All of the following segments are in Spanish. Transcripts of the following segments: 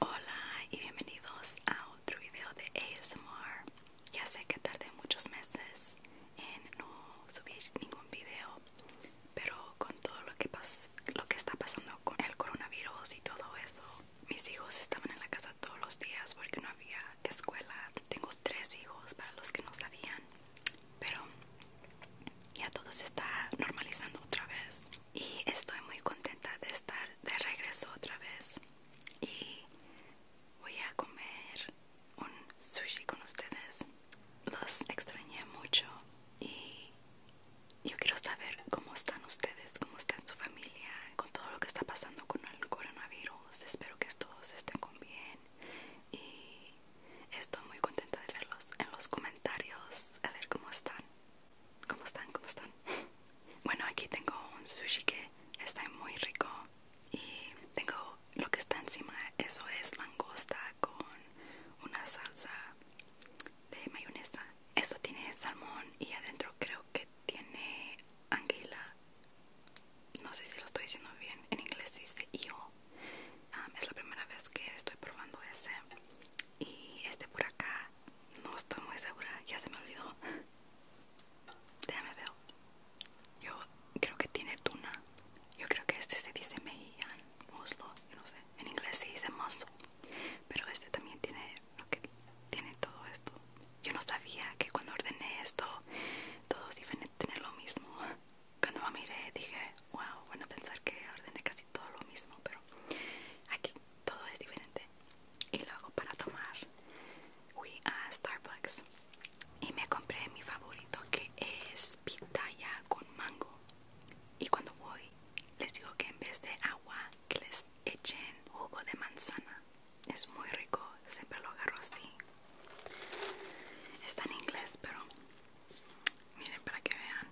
Hola y bienvenidos a otro video de ASMR. Ya sé que tardé muchos meses en no subir ningún video, pero con todo lo que, lo que está pasando con el coronavirus y todo eso, mis hijos estaban en la casa todos los días porque no había escuela. Tengo tres hijos, para los que no sabían, pero ya todo se está normalizando otra vez. Y estoy muy contenta de estar de regreso otra vez. Y voy a comer un sushi con ustedes. Los extrañé mucho y yo quiero saber cómo están ustedes, cómo está su familia, con todo lo que está pasando con el coronavirus espero que todos estén con bien y estoy muy contenta de verlos en los comentarios, a ver cómo están, cómo están, cómo están. Bueno, aquí tengo un sushi que está muy rico y tengo lo que está encima, eso es langosta con una salsa de mayonesa. Eso tiene salmón y adentro creo que tiene anguila no sé si lo estoy diciendo bien en inglés se dice IO e es la primera vez que estoy probando ese y este por acá no estoy muy segura ya se me olvidó déjame ver yo creo que tiene tuna yo creo que este se dice mejilla, muslo en inglés se dice muslo pero este también tiene lo que tiene todo esto. Yo no sabía que cuando ordené esto, todo es diferente tener lo mismo. Cuando lo miré dije, wow, bueno, pensar que ordené casi todo lo mismo, pero aquí todo es diferente. Y luego para tomar fui a Starbucks y me compré mi favorito que es pitaya con mango. Y cuando voy les digo que en vez de agua que les echen jugo de manzana es muy rico siempre lo agarro así está en inglés pero miren para que vean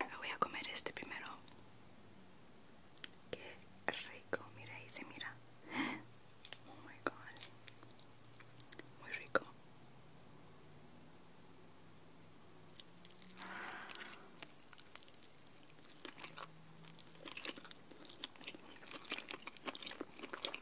Ah, voy a comer este primero. Qué rico, mira ahí se mira. Oh my god. Muy rico.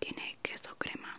Tiene queso crema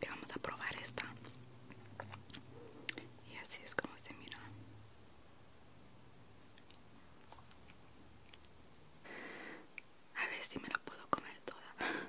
Y vamos a probar esta. Y así es como se mira. A ver si me la puedo comer toda.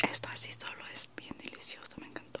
Esto así solo es bien delicioso, me encantó.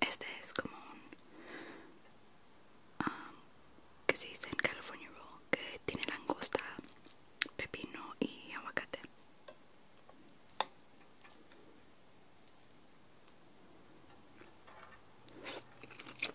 Este es como un ah, que se dice en California Roll que tiene langosta, pepino y aguacate.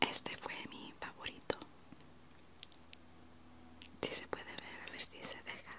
Este fue mi favorito. Si se puede ver, a ver si se deja.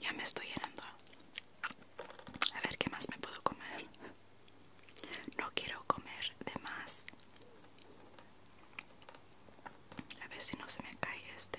Ya me estoy llenando. A ver qué más me puedo comer. No quiero comer de más. A ver si no se me cae este.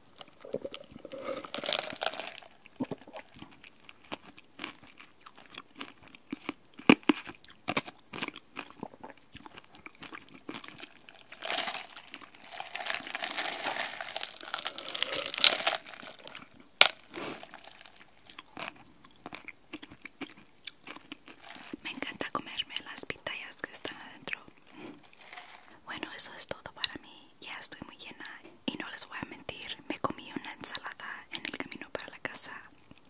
Me encanta comerme las pitayas que están adentro. Bueno, eso es todo para mí ya estoy muy llena y no les voy a mentir, me comí una ensalada en el camino para la casa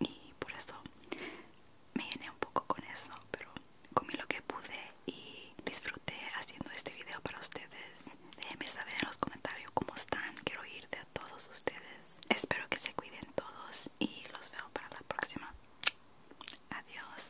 y por eso me llené un poco con eso, pero comí lo que pude y disfruté haciendo este video para ustedes. Déjenme saber en los comentarios cómo están, quiero oír de todos ustedes. Espero que se cuiden todos y los veo para la próxima. Adiós.